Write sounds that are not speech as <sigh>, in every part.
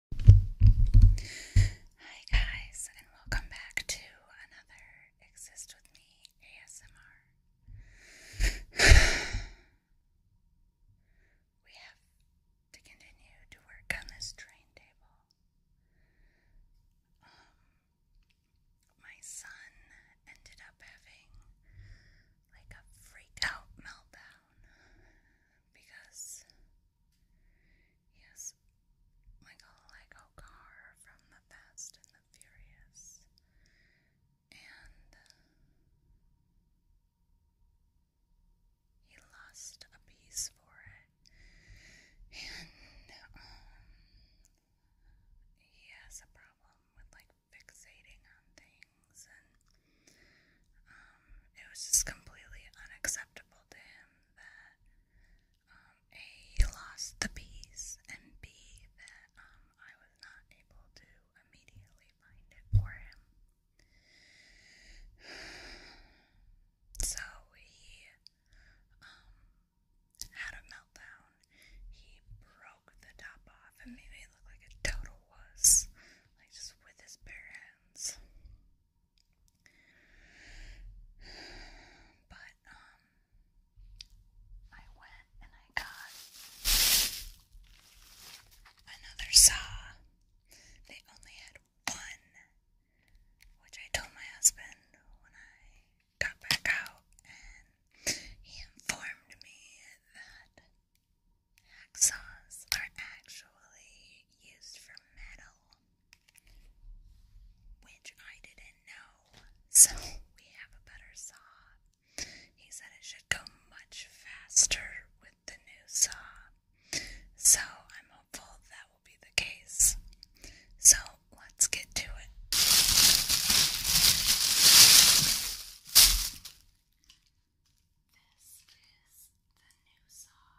Hi guys, and welcome back to another Exist With Me ASMR. <sighs> we have to continue to work on this train table. Um, my son ended up having like a freaked out meltdown because Yes, like a Lego car from the Fast and the Furious. And he lost a piece for it. And um, he has a problem with like fixating on things and um, it was just completely unacceptable to him that um, A, he lost the piece, and B, that um, I was not able to immediately find it for him. <sighs> So he had a meltdown. He broke the top off and made me look like a total wuss, like just with his bare hands. But um I went and I got another saw. They only had one, which I told my husband when I got back out and he informed me that Hacksaws are actually used for metal, which I didn't know, so we have a better saw. He said it should go much faster with the new saw, so I'm hopeful that will be the case. So let's get to it. This is the new saw.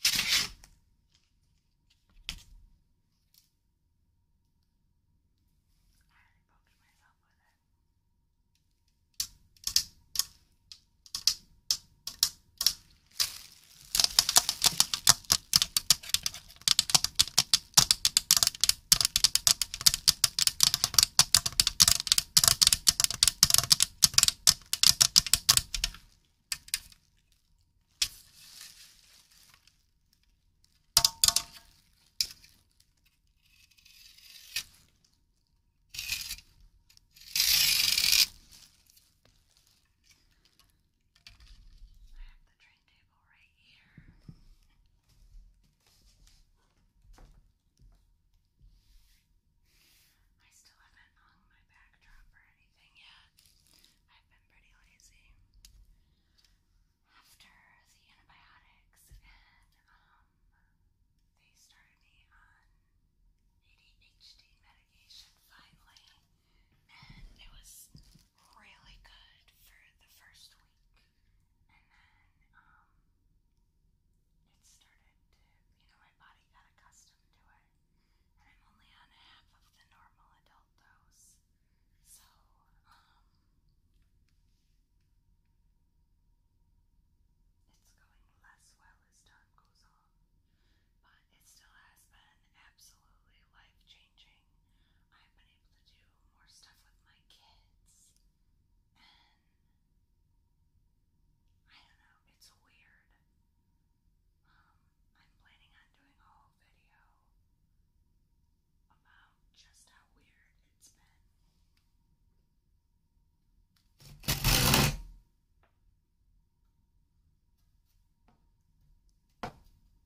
Stanley. I already myself with it. I have the train table right here. I still haven't hung my backdrop or anything yet. I've been pretty lazy. After the antibiotics and um they started me on ADHD medication finally and it was really good for the first week, and then um, it started you know, my body got accustomed to it. And I'm only on half of the normal adult dose, so um, it's going less well as time goes on. But it still has been absolutely life changing. I've been to do more stuff with my kids. And I don't know, it's weird. Um, I'm planning on doing a whole video about just how weird it's been.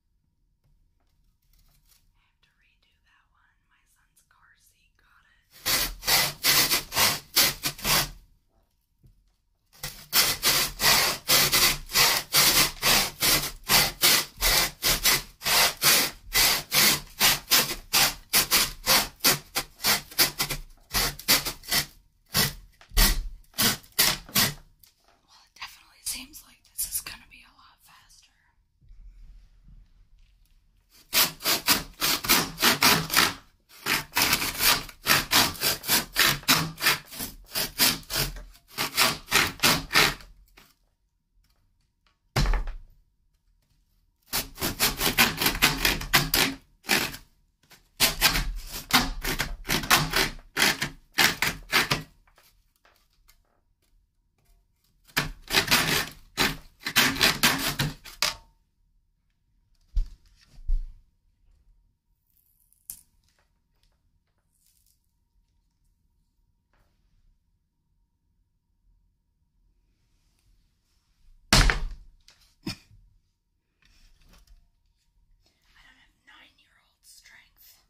I have to redo that one. My son's car seat got it. Well, it definitely seems like this is going to be a lot faster. I don't have nine year old strength.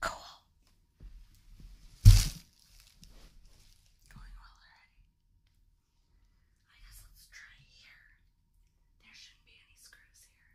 Cool. Going well already. I guess let's try here. There shouldn't be any screws here.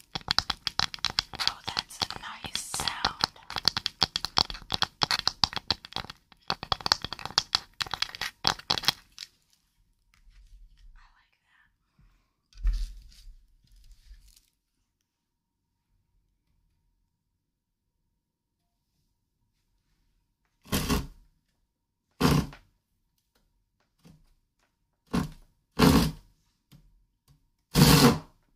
Oh, that's a nice sound. I like that.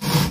Maybe this way.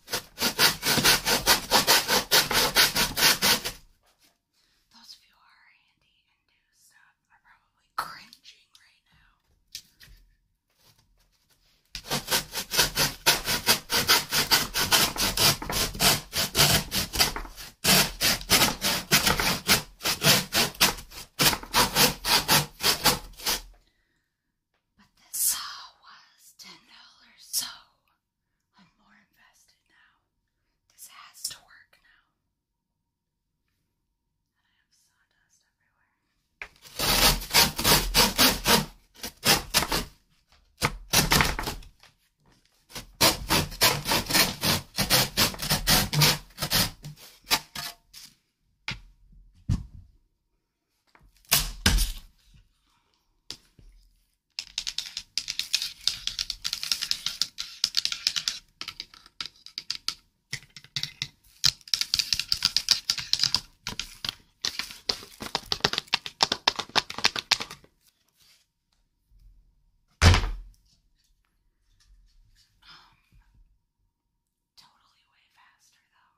Those of you who are handy and do stuff are probably cringing right now. But this saw was ten dollars, so I'm more invested now. This has to work now. And I have sawdust everywhere. Um, totally way faster though.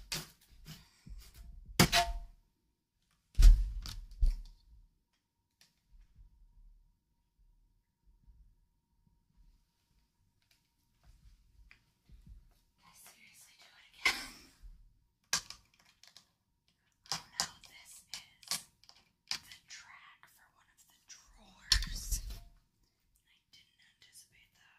I seriously do it again. Oh no, this is the track for one of the drawers. I didn't anticipate that.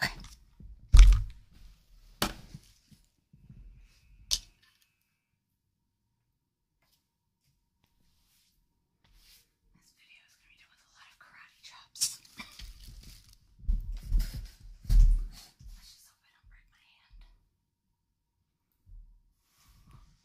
Okay. This video is going to be done with a lot of karate chops. Let's just hope I don't break my hand. All right.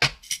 doing this.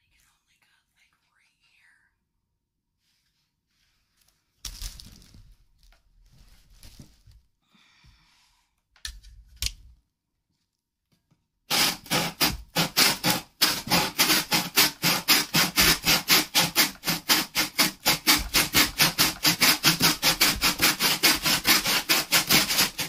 They really can only go like right here.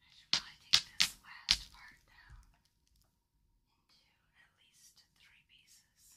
I should probably take this last part down into at least three pieces. I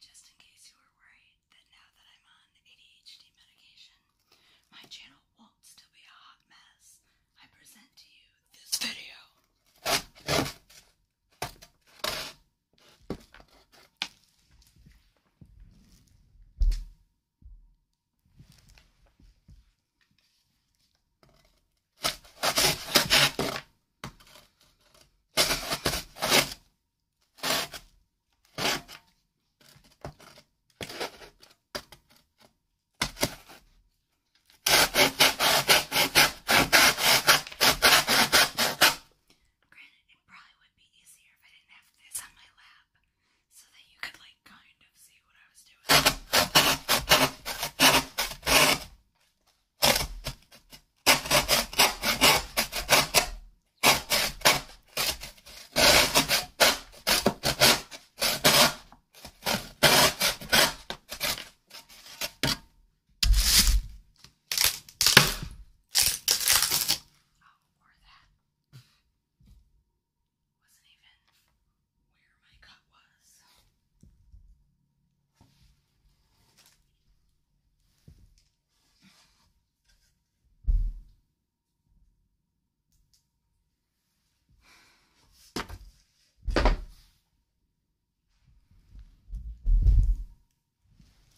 Just in case you were worried that now that I'm on ADHD medication, my channel won't still be a hot mess, I present to you this video. Granted, it probably would be easier if I didn't have this on my lap so that you could, like, kind of see what I was doing. Wasn't even where my cut was.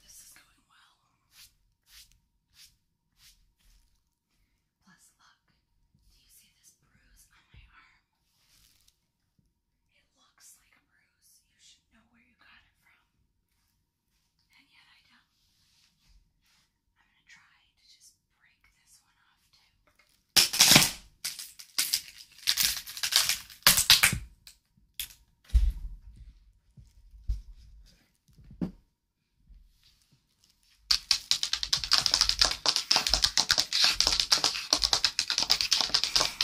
This is going well. Plus, look, do you see this bruise on my arm? It looks like a bruise. You should know where you got it from. And yet I don't. I'm going to try to just break this one off too. Okay,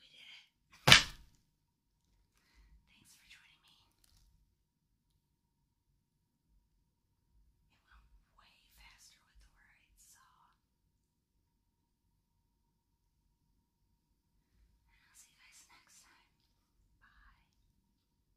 we did it. Thanks for joining me. It went way faster with the right saw. And I'll see you guys next time. Bye.